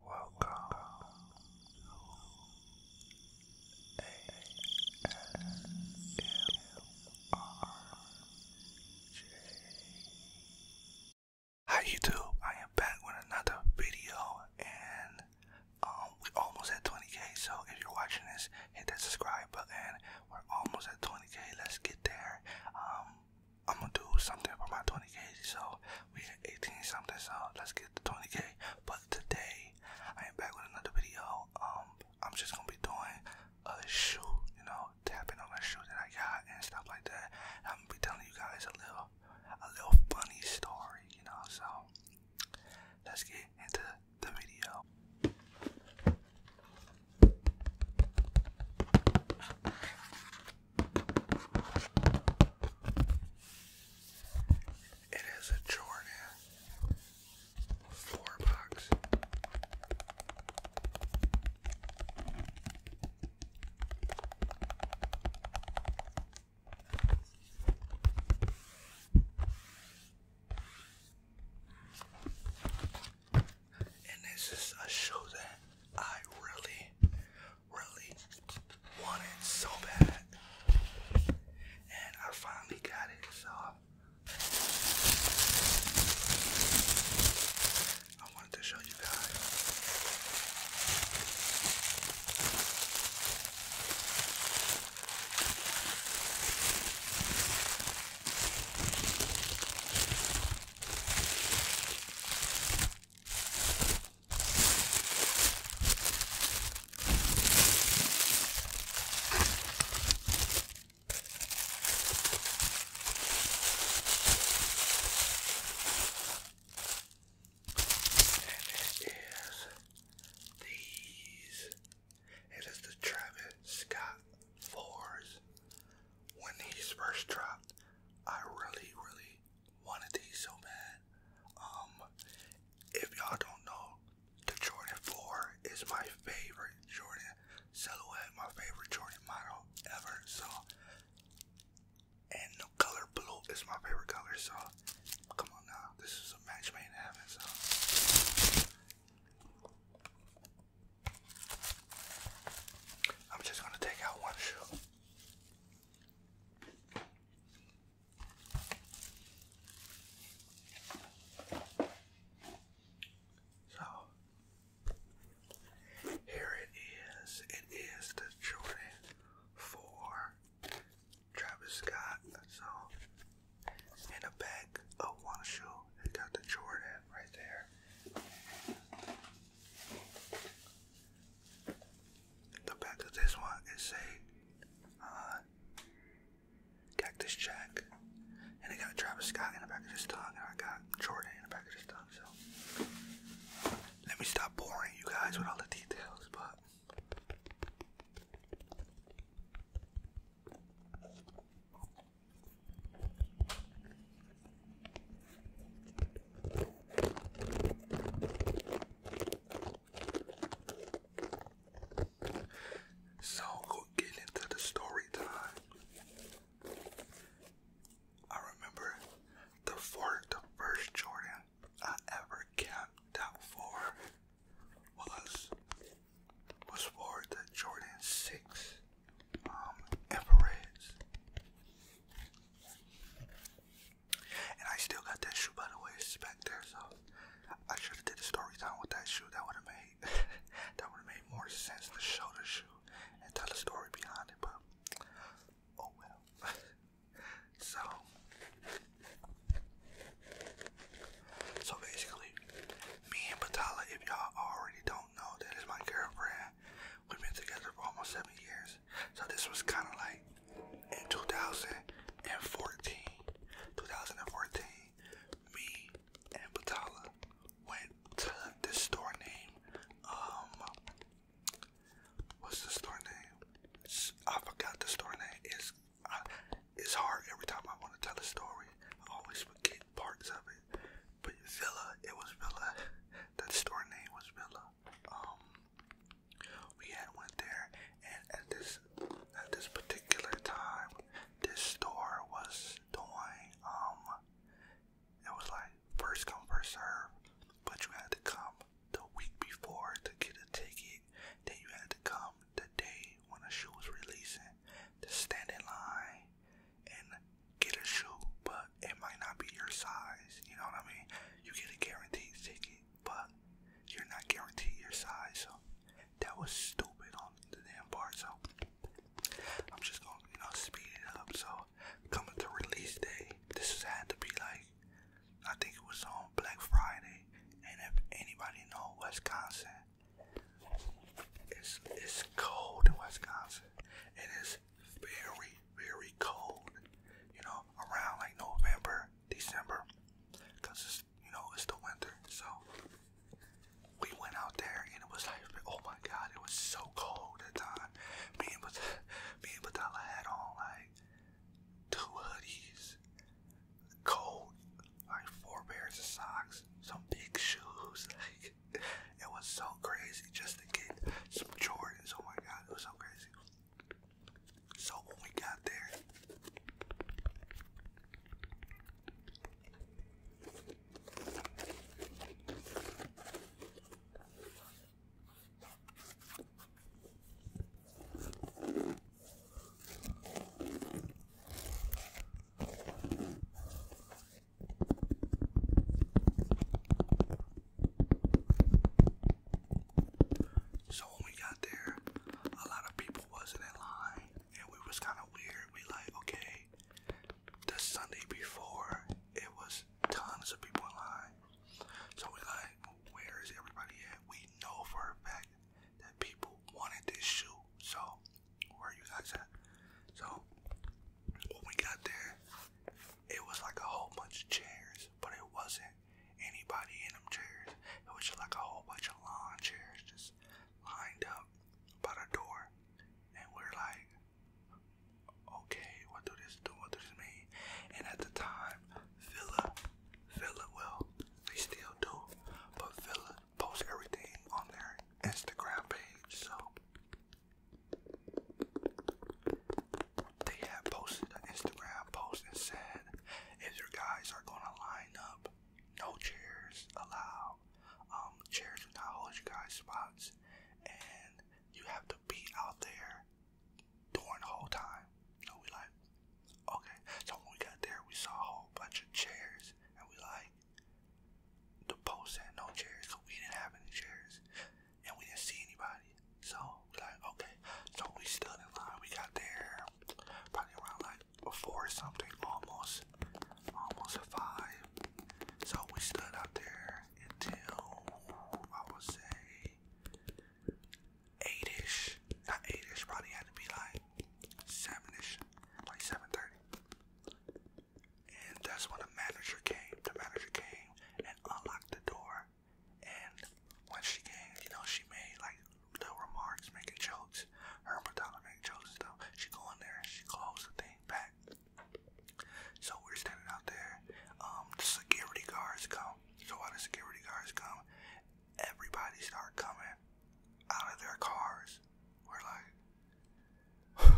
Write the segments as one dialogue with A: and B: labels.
A: Welcome to ASMRJ. Hi I am back with another video and um, we almost at 20k so if you're watching this, hit that subscribe button. We're almost at 20k, let's get there. I'm gonna do something for my 20k so we had 18 something, so let's get to 20k. But today, I am back with another video. Um, I'm just gonna be doing a shoe, you know, tapping on a shoe that I got and stuff like that. I'm gonna be telling you guys a little, a little funny story, you know. So let's get into the video. It is a Jordan four box. And this is a shoe that I really, really wanted so bad. And I finally got it, so I wanted to show you guys. And it is these. It is the Travis Scott 4s. When these first dropped, I really, really one of these so bad. Um, if y'all don't know, the Jordan 4 is my favorite Jordan silhouette, my favorite Jordan model ever. So, and the color blue is my favorite color. So, come on now, this is a match made in heaven. So. I'm just gonna take out one shoe. So here it is. It is the Jordan 4 Travis Scott. So in the back of one shoe, it got the Jordan right there. The back of this one is a uh, cactus jack, and it got Travis Scott in the back of his tongue, and I got Jordan in the back of his tongue. So let me stop boring you guys with all the details, but. So we'll get into the story time. I remember the first Jordan I ever camped out for was was for the Jordan Six um, infrareds. And I still got that shoe by the way, back there, so I should have did a story time with that shoe. That would have made that would have made more sense to show the shoe and tell a story behind it, but oh well. so So basically me and Batala, if y'all already don't know, that is my girlfriend. We've been together for almost seven years. So this was kind of like in 2014. 2014, me and Batala went to this store name. um, what's the store name? I forgot the store name. It's, it's hard every time I want to tell a story. I always forget parts of it. But Villa, it was Villa. That store name was Villa. Um, we had went there and at this at this particular time this store was doing um it was like first come first serve but you had to come the week before to get a ticket then you had to come the day when the shoe was releasing to stand in line and get a shoe, but it might not be your size. You know what I mean? You get a guaranteed ticket, but you're not guaranteed your size. So that was stupid on the damn part. So I'm just gonna, you know, speed it up. So coming to release day, this has had to be like, I think it was on Black Friday. And if anybody know Wisconsin, it's it's cold in Wisconsin. It is is very, very cold, you know, around like November, December, because it's, you know, it's the winter. So we went out there and it was like, oh my god, it was so cold at the time. Me and, me and Batala had on like two hoodies, cold, like four pairs of socks, some big shoes, like it was so crazy just to get some Jordans. Oh my god, it was so crazy. So when we got there, so when we got there, a lot of people wasn't in line, and we was kind of weird. We like, okay, the Sunday before, it was tons of people in line. So we like, where is everybody at? We know for a fact that people wanted this shoe. So where are you guys at? So when we got there, it was like a whole bunch of chairs, but it wasn't anybody in them chairs. It was just like a whole bunch of lawn chairs just lined up by the door. And we're like, okay, what do this do? What does this mean? And at the time, Villa, Villa, well, they still do, but Villa posts everything on their Instagram page. So they have posted an Instagram post and said, if your guys are gonna line up, no chairs allowed. Um, chairs do not hold you guys' spots, and you have to be out there during the whole time. So we like, okay. So when we got there, we saw a whole bunch of chairs, and we like, the post said no chairs, so we didn't have any chairs and we didn't see anybody. So we like, okay. So we stood in line. We got there probably around like four or something, almost, almost a five. So we stood out there until I would say eight-ish, not eight-ish. Probably had to be like seven-ish, like seven thirty. And that's when the manager came. The manager came and unlocked the door. And when she came, you know, she made like little remarks, making jokes. Her and Madonna make jokes and stuff. She go in there, and she closed the thing back. So we're standing out there. Um, the security guards come. So while the security guards come, everybody start coming out of their cars. We're like,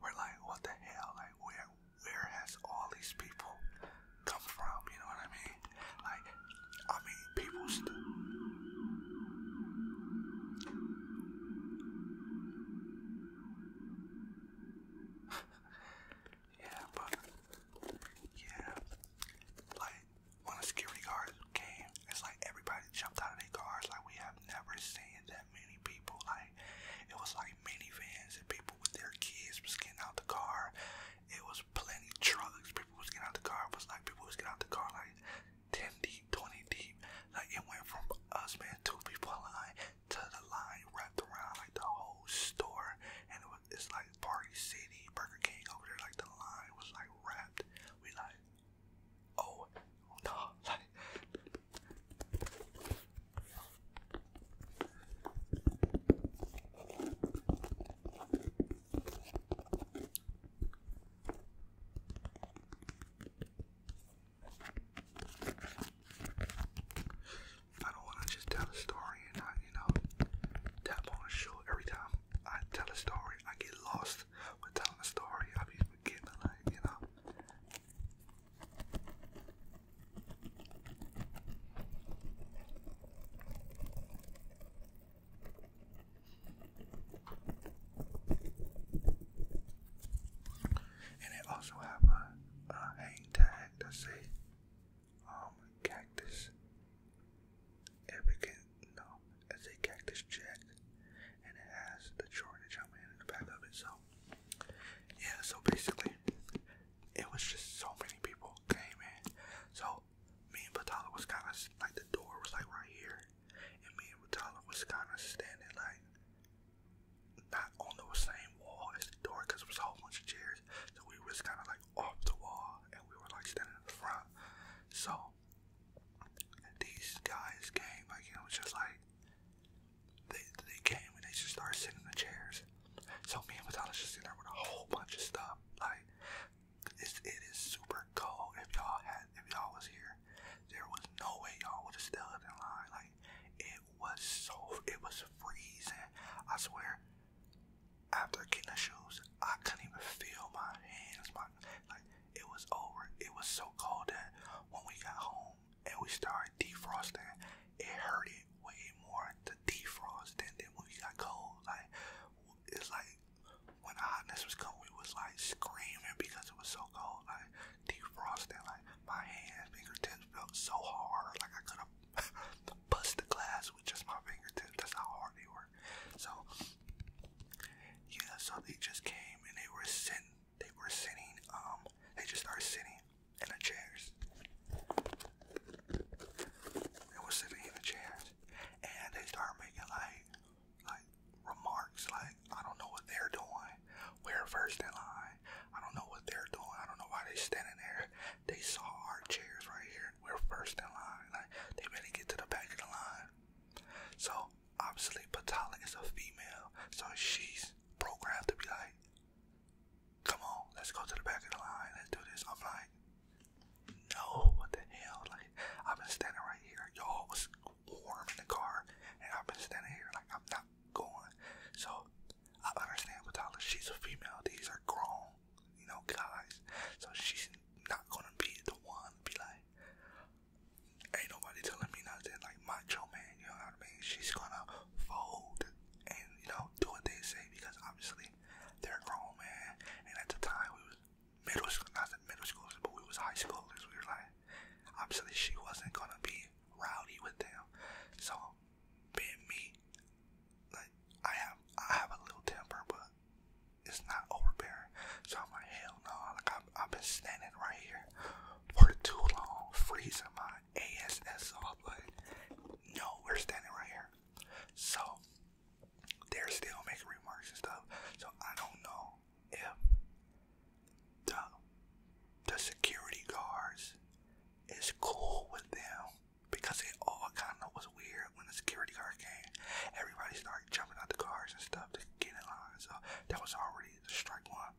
A: we're like, what the hell? Like, where, where has all these people come from? You know what I mean? Like, I mean, people's. still. yeah, but yeah, like when the security guards came, it's like everybody jumped out of their cars. Like we have never seen that many people. Like it was like like minivans and people with their kids was getting out the car. It was plenty trucks. People was getting out the car. It was like people was getting out the car like 10 deep, 20 deep. Like it went from us, man, two people line to the line wrapped around like the whole store. And it was, it's like Party City, Burger King over there. Like the line was like wrapped. We like, oh, no, like. I don't want to just tell a story and I, you know, tap on a show every time I tell a story. I get lost with telling a story. I be forgetting, like, you know, and it also have a, hang tag that say um cactus. If it can no, it's a cactus jack and it has the shortage i the back of it, yeah, so basically, it was just so many people came in. So me and Batala was kind of like the door was like right here, and me and Batala was kind of standing like not on the same wall as the door because it was all bunch of chairs. So we was kind of like off the wall, and we were like standing in the front. So these guys came like it was just like they, they came and they just started sitting in the chairs. So me and Vitala's just sitting there with a whole bunch of stuff. Like it's, it is super cold. If y'all had, if y'all was here, there was no way y'all would have stood in line. Like it was so, it was freezing. I swear. After getting the shoes, I couldn't even feel my hands. My like it was over. It was so cold that when we got home, and we started defrosting, it hurted way more to defrost than, than when we got cold. Like it's like when the hotness was cold, we was like screaming because it was so cold. Like defrosting, like my hands, fingertips felt so hard, like I could have bust the glass with just my fingertips. That's how hard they were. So yeah, so they just came and they were sitting they were sitting, um, they just started sitting in the chairs. They were sitting in the chairs, and they started making like, like remarks, like I don't know what they're doing. We're first in line. I don't know what they're doing. I don't know why they standing there. They saw our chairs right here. We're first in line. Like they better get to the back of the line. So obviously Patala is a female, so she's programmed to be like, Come on, let's go to the back of the line. Let's do this. I'm like, no, what the hell? Like, I've been standing right here. Y'all was warm in the car, and I've been standing here like I'm not going. So I understand with Tyler, she's a female. These are grown, you know, guys. So she's not gonna be the one be like, ain't nobody telling me nothing. Like macho man, you know what I mean? She's gonna fold and you know do what they say because obviously they're grown man. And at the time we was middle school, not middle schoolers, but we was high schoolers. We were like, obviously she wasn't gonna be rowdy with them. So being me, like I have, I have a little temper, but it's not overbearing. So I'm like, hell no! Like i I've been standing right here for too long, freezing my not ASSR, but no, we're standing right here. So they're still making remarks and stuff. So I don't know if the the security guards is cool with them because it all kind of was weird when the security guard came. Everybody started jumping out the cars and stuff to get in line. So that was already the strike one.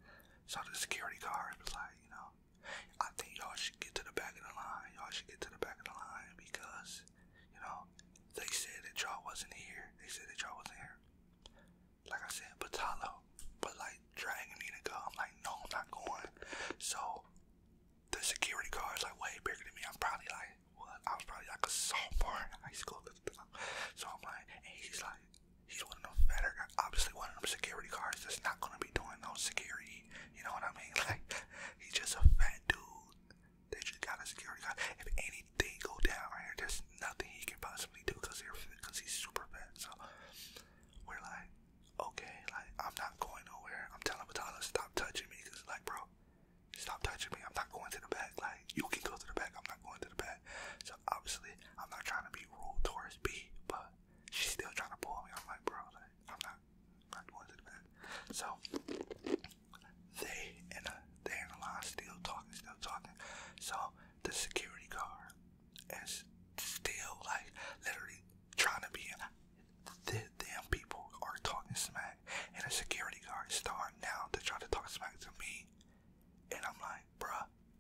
A: So the Security guard was like, you know, I think y'all should get to the back of the line. Y'all should get to the back of the line because, you know, they said that y'all wasn't here. They said that y'all wasn't here. Like I said, Batalo, but like dragging me to go. I'm like, no, I'm not going. So the security guard's like way bigger than me. I'm probably like, what? I was probably like a sophomore in high school. So I'm like, and he's like, He's one of them fatter, obviously one of them security guards that's not gonna be doing no security. You know what I mean? Like he's just a fat dude. They just got a security guard. If anything go down here, there's nothing he can possibly do because he's super fat. So we're like, okay, like I'm not going nowhere. I'm telling Batala stop touching me because like, bro, stop touching me. I'm not going to the back. Like you can go to the back. I'm not going to the back obviously, I'm not trying to be rude towards B, but she's still trying to pull me. I'm like, bro, like, I'm not, I'm not doing it, So they and they in a lot still talking, still talking. So the security guard is still like literally trying to be. The damn people are talking smack, and a security guard is starting now to try to talk smack to me, and I'm like like,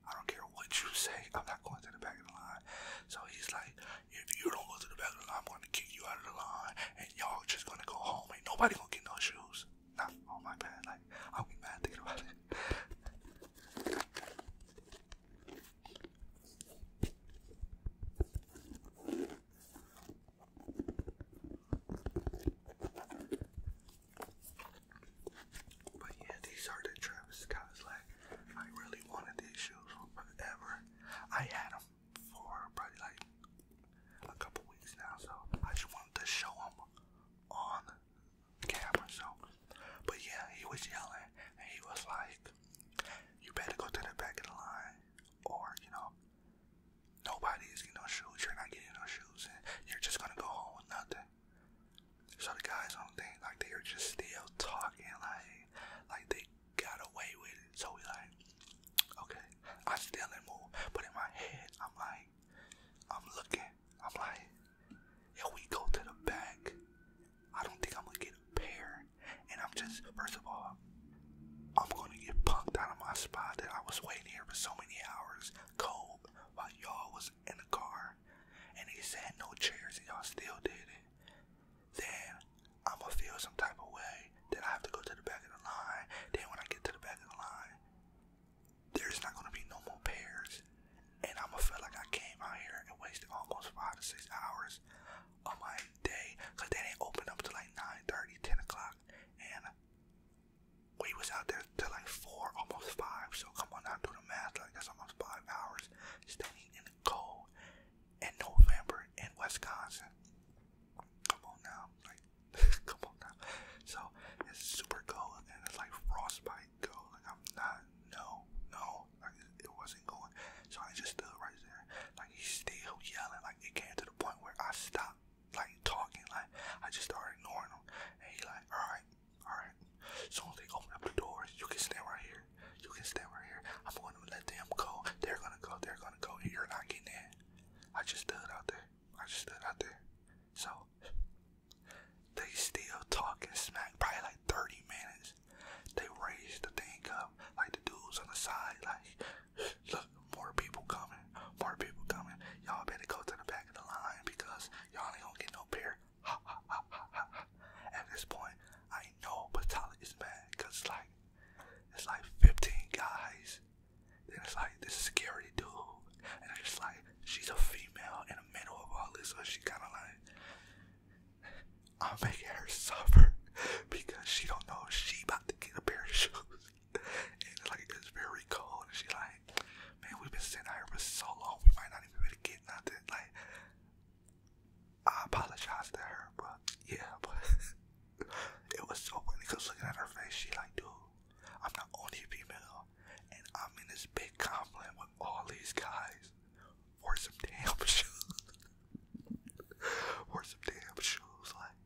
A: I don't care what you say, I'm not going to the back of the line. So he's like, if you don't go to the back of the line, I'm going to kick you out of the line, and y'all just going to go home. Ain't nobody going to get no shoes. Not on oh my bad. Like, I'll be mad thinking about it. But yeah, these are the Travis Scott's. Like, I really wanted these shoes forever. I had them for probably like a couple weeks now, so I just wanted to show them on camera. So, but yeah, he was yelling and he was like, "You better go to the back of the line, or you know." Nobody is getting no shoes. You're not getting no shoes, and you're just gonna go home with nothing. So the guys on the thing, like they are just still talking, like like they got away with it. So we like, okay, I still didn't move, but in my head, I'm like, I'm looking, I'm like, if we go to the back, I don't think I'm gonna get a pair. And I'm just, first of all, I'm gonna get punked out of my spot that I was waiting here for so many hours, cold, while y'all was in the car and they said no chairs and y'all still did it, then I'ma feel some type of way that I have to go to the back of the line. Then when I get to the back of the line, there's not gonna be no more pairs. And I'ma feel like I came out here and wasted almost five to six hours of my day. Cause they didn't open up till like 9 10 o'clock. And we was out there till like four, almost five. So come on down, do the math. Like that's almost five hours standing in the cold in November in Wisconsin. Come on now, like come on now. So it's super cold and it's like frostbite cold. I'm not, no, no, like it, wasn't going. So I just stood right there, like he's still yelling. Like it came to the point where I stopped like talking. Like I just started ignoring him, and he like, all right, Alright. So they open up the door. You can stand right here. You can stand right here. I'm gonna let them go. They're gonna go. They're gonna go. you're not getting in. I just stood out there. I just stood out there. So they still talking smack probably like 30 minutes. They raised the thing up, like the dudes on the side, like look, more people coming, more people coming. Y'all better go to the back of the line because y'all ain't gonna get no pair. At this point, I know Batali is man, because it's like, it's like 15 guys. Then it's like this scary dude. And it's like, she's a female in the middle of all this. So she kind of like, I'm making her suffer because she don't know she about to get a pair of shoes. And like, it's very cold. And she like, man, we've been sitting here for so long. We might not even get nothing. Like, I apologize to her, but yeah, but it was so funny because looking at her face, she like, dude, I'm not only a female, and I'm in this big compliment with all these guys for some damn shoes, for some damn shoes. Like,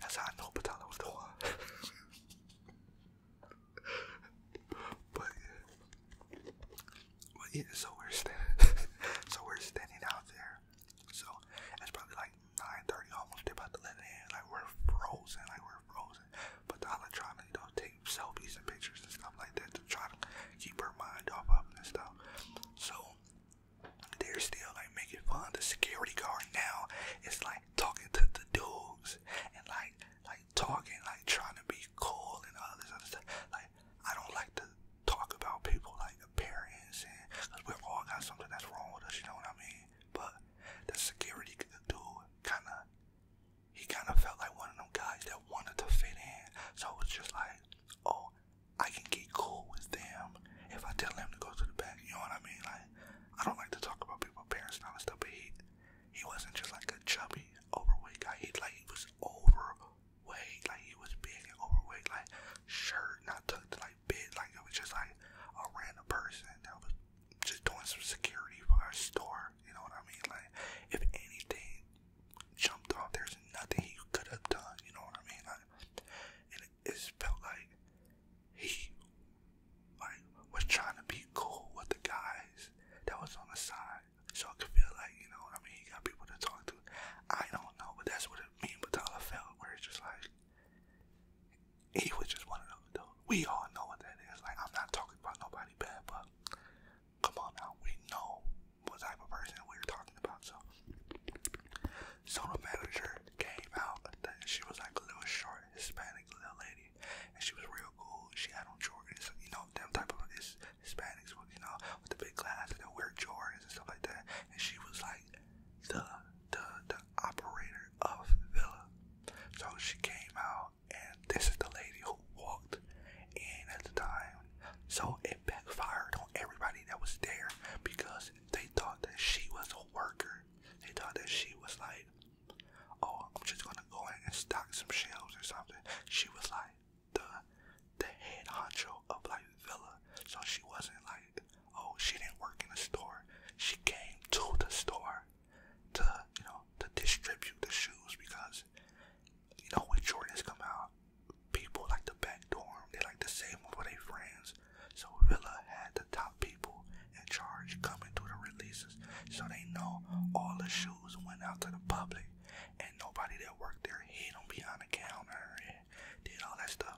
A: that's how I know Patala was the one. but yeah, but yeah, so we're standing, so we're standing out there. So it's probably like 9:30, almost about to let it in. Like we're frozen, like we're frozen. But the Hala trying to, take selfies and pictures and stuff like that to try to keep her mind off of this stuff. So they're still like making fun. The security guard now is like talking to the dudes and like like like talking, like trying to be cool and all this other stuff. Like I don't like to talk about people like appearance and because we all got something that's wrong with us. You know what I mean? But the security dude kind of he kind of felt like one of them guys that wanted to fit in. So it was just like, oh, I can get cool with them if I tell them to go to the back. You know what I mean? Like I don't like to talk about people, parents, and all that stuff. But he he wasn't just like a chubby overweight guy. He like he was overweight, like he was big and overweight, like shirt not tucked, like big, like it was just like a random person that was just doing some security for our store. You know what I mean? Like if anything jumped off, there's nothing he could have done. You know what I mean? Like, it felt like he like was trying to be cool with the guys that was on the side, so I could feel like you know what I mean. He got people to talk to. I don't know, but that's what it mean. But Tyler felt where it's just like he was just one of those. Though. We all know what that is. Like I'm not talking about nobody bad, but come on now, we know what type of person we're talking about. So, so the manager came out. She was like a little short Hispanic little lady. City, and she was real cool. She had on Jordans, you know, them type of his, Hispanics, with, you know, with the big glasses that wear Jordans and stuff like that. And she was like the the the operator of Villa. So she came out, and this is the lady who walked in at the time. So it backfired on everybody that was there because they thought that she was a worker. They thought that she was like oh, I'm just gonna go in and stock some shelves or something. She was like the the head honcho of like Villa, so she wasn't like, oh, she didn't work in a store. She came to the store to you know to distribute the shoes because you know when Jordans come out, people like the back dorm, they like to save them for their friends. So Villa had the top people in charge coming to the releases so they know all the shoes went out to the public and nobody that worked there hid them behind the counter and did all that stuff.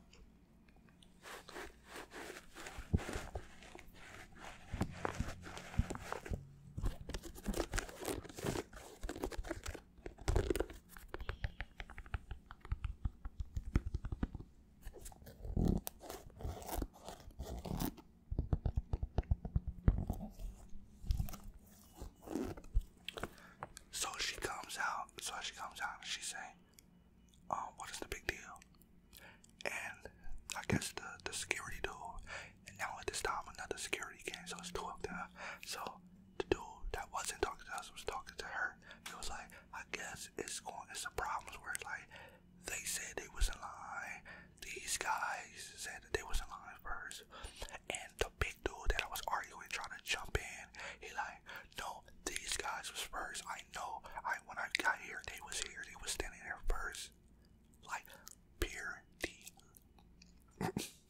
A: So she comes out, so she comes out and she say, um, what is the big deal? And I guess the, the security dude, and now at this time another security came, so it's two of them. So the dude that wasn't talking to us was talking to her. He was like, I guess it's going, it's a problem where it's like, they said it was a lie. These guys said that they was a lie first. And the big dude that I was arguing trying to jump in, he like, no, these guys was first. I know. I when I got here, they was here. They was standing there first. Like pure the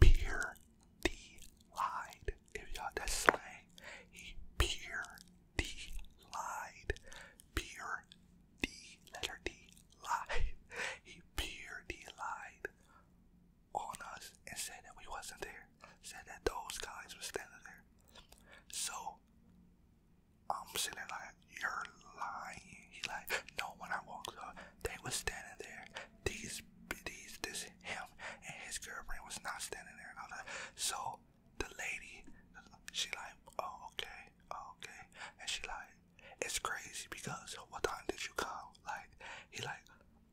A: pure the lied. If y'all that's slang, he pure D lied. Pure D letter D lied. He pure D lied on us and said that we wasn't there. Said that those guys were standing there. So I'm sitting there like, you're lying. He like, no, when I walked up, they was standing there. These, these, this, him and his girlfriend was not standing there. And I was so the lady, she like, oh, okay, oh, okay. And she like, it's crazy because what time did you come? Like, he like,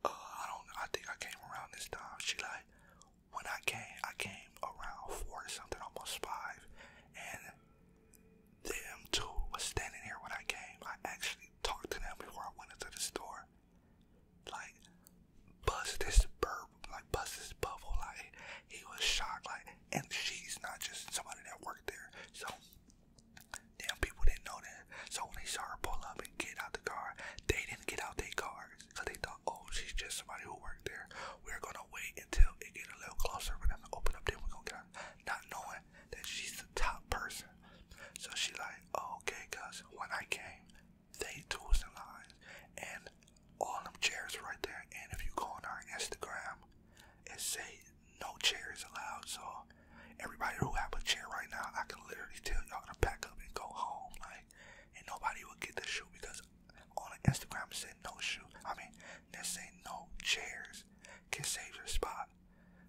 A: uh, I don't, I think I came around this time. She like, when I came, I came around four or something, almost five. And them two was standing here when I came. I actually talked to them before I went into the store. Like, Buzz this burp, like buzz this bubble. Like he was shocked. Like, and she's not just somebody that worked there. So damn people didn't know that. So when they saw her pull up and get out the car, they didn't get out their cars because they thought, oh, she's just somebody who worked there. We're gonna wait until it get a little closer. We're gonna open up. Then we're gonna get out, not knowing that she's the top person. So she like, oh, okay, cause when I came, they tools and lines and all them chairs right there. And if you go on our Instagram, it say no chairs allowed. So everybody who have a chair right now, I can literally tell y'all to pack up and go home. Like, and nobody will get the shoe because on the Instagram it said no shoe. I mean, they say no chairs can save your spot.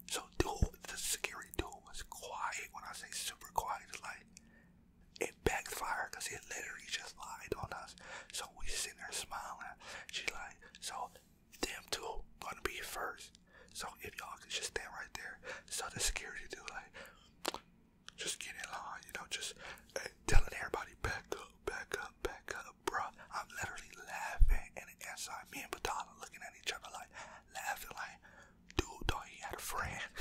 A: So dude, the scary dude was quiet. When I say super quiet, like it backfired because it literally just lied on us. So we sitting there smiling. She like, so them two gonna be first. So if y'all could just stand right there. So the security dude like, just getting in line, you know, just eh, telling everybody back up, back up, back up, bruh. I'm literally laughing and inside me and Batala looking at each other like laughing like, dude thought he had a friend.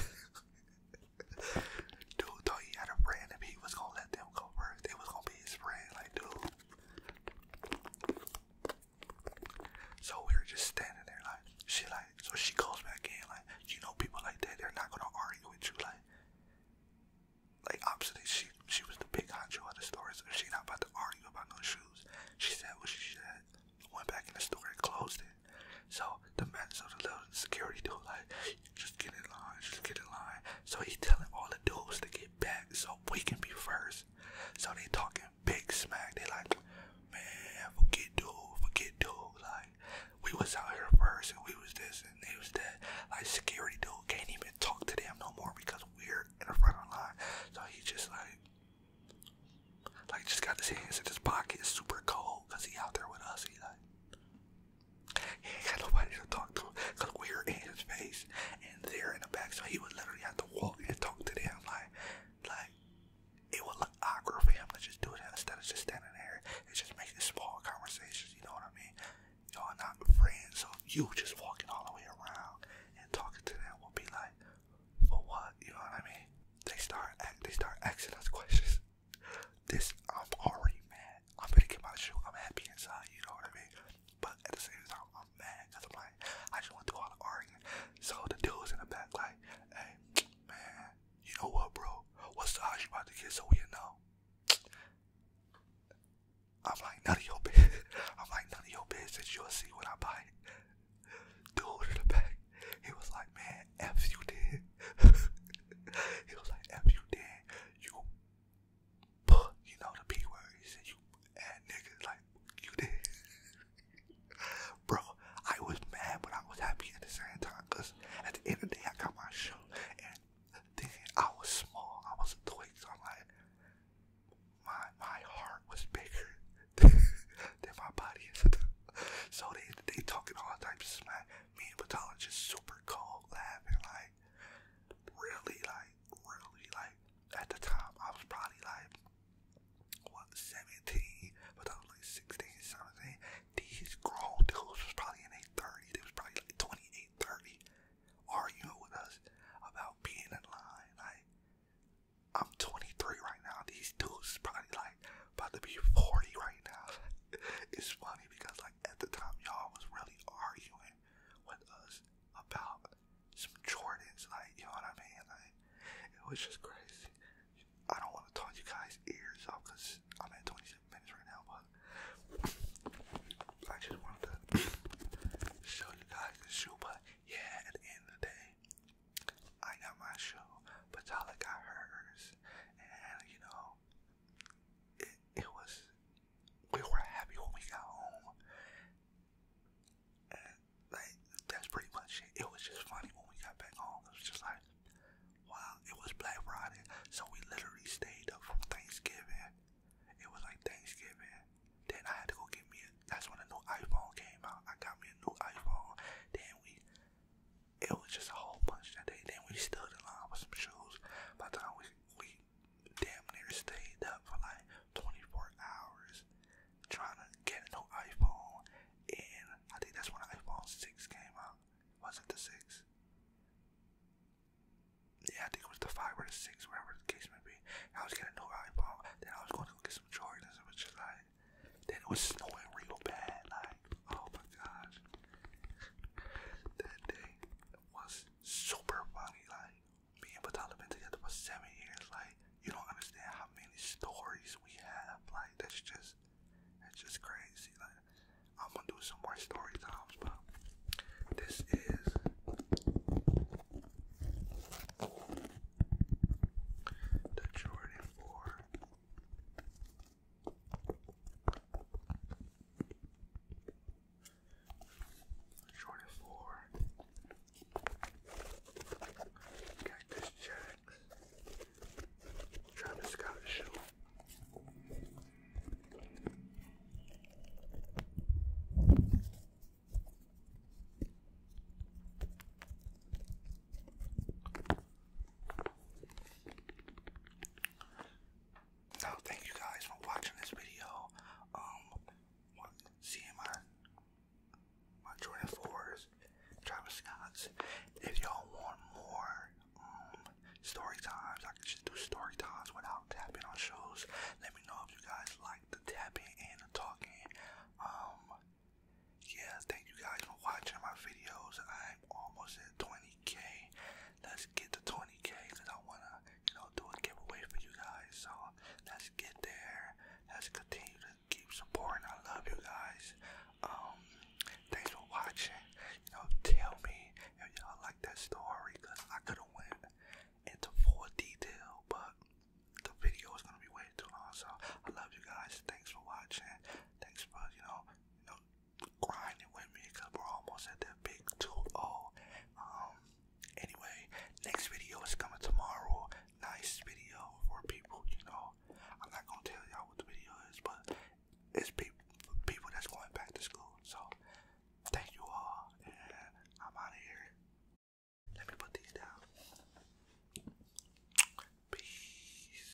A: dude thought he had a friend and he was gonna let them go work. They was gonna be his friend, like dude. So we were just standing there, like she like. So she goes back in, like you know, people like that, they're not gonna argue with you, like. Like obviously she she was the big honcho of the store, so she not about to argue about no shoes. She said what she said, went back in the store and closed it. So the man saw the little security dude like, just get in line, just get in line. So he telling all the dudes to get back so we can be first. So they talking big smack. They like, man, forget dude, forget dude. Like, we was out here first and we was this and they was that. Like, security dude can't even talk to them no more because we're in the front of the line. So he just like, like just got his hands in his pocket, super cold, cause he out there with us. He like, he ain't got nobody to talk to we were in his face and they're in the back. So he would literally have to walk and talk to them. Like, like it would look awkward for him to just do that instead of just standing there and just making small conversations. You know what I mean? Y'all not friends. So you just walking all the way around and talking to them will be like, for what? You know what I mean? They start, they start asking us questions this I'm already mad. I'm gonna get my shoe. I'm happy inside, you know what I mean? But at the same time, I'm mad because I'm like, I just want to go out and argue. So the dude's in the back like, hey, man, you know what, bro? What size you about to get so we know? I'm like, none of your business. I'm like, none of your business. You'll see when I buy it. Dude in the back, he was like, man, F you did. he was like, F you did. You put, you know, the P word. He said, you add niggas like you did. Bro, I was mad, but I was happy at the same time. Because at the end of the day, I got my show. And I was small. I was a twig. So I'm like, my, my heart was bigger than, than my body. so they, they talking all types of smack me and pathologist super cold laughing like really like really like at the time I was probably like what 17 but was 16 something these grown dudes was probably in their 30 was probably like 28 arguing with us about being in line like I'm 23 right now these dudes is probably like about to be 40 right now. it's funny because like at the time y'all was really arguing with us about some Jordans, like you know what I mean? Like it was just crazy. I don't want to talk you guys ears off because I'm in 27 minutes right now, but I just wanted to show you guys the shoe. But yeah, at the end of the day, I got my shoe, but Tyler got hers and you know, it, it was. We were happy when we got home, and like that's pretty much it. It was just funny when we got back home. It was just like, wow, it was Black Friday, so we literally stayed up from Thanksgiving. It was like Thanksgiving. Then I had to go get me. A, that's when a new iPhone came out. I got me a new iPhone. Then we it was just a whole bunch that day. Then we stood in line with some shoes. By the time we, we damn near stayed up for like 24 hours trying to get a new iPhone. And I think that's when the iPhone 6 came out. Was it the 6? Yeah, I think it was the 5 or the 6, wherever the case may be. I was getting a new iPhone. Then I was going to go get some Jordans. It was just like, then it was snowing real bad. Like, oh my gosh, that day was super funny. Like me and Batal have been together for seven years. Like you don't understand how many stories we have. Like that's just that's just crazy. Like I'm gonna do some more story but this is. The Jordan Short of four. Cactus Jacks. Travis Scott Show. So thank you guys for watching this video. Um, seeing my my Jordan fours, Travis Scott's. If y'all want more um, story times, I can just do story times without tapping on shows. Let me know if you guys like the tapping and the talking. Um, yeah, thank you guys for watching my videos i almost at 20k. Let's get to 20k because I wanna, you know, do a giveaway for you guys. So let's get there. Let's continue to keep supporting. I love you guys. Um, thanks for watching. You know, tell me if y'all like that story because I could have went into full detail, but the video is gonna be way too long. So I love you guys. Thanks for watching. Thanks for you know, you know, grinding with me because we're almost at that big 2 Um, anyway, next video is coming tomorrow. Nice video for people, you know. I'm not gonna tell y'all what the video is, but it's people, people that's going back to school. So, thank you all, and I'm out of here. Let me put these down. Peace.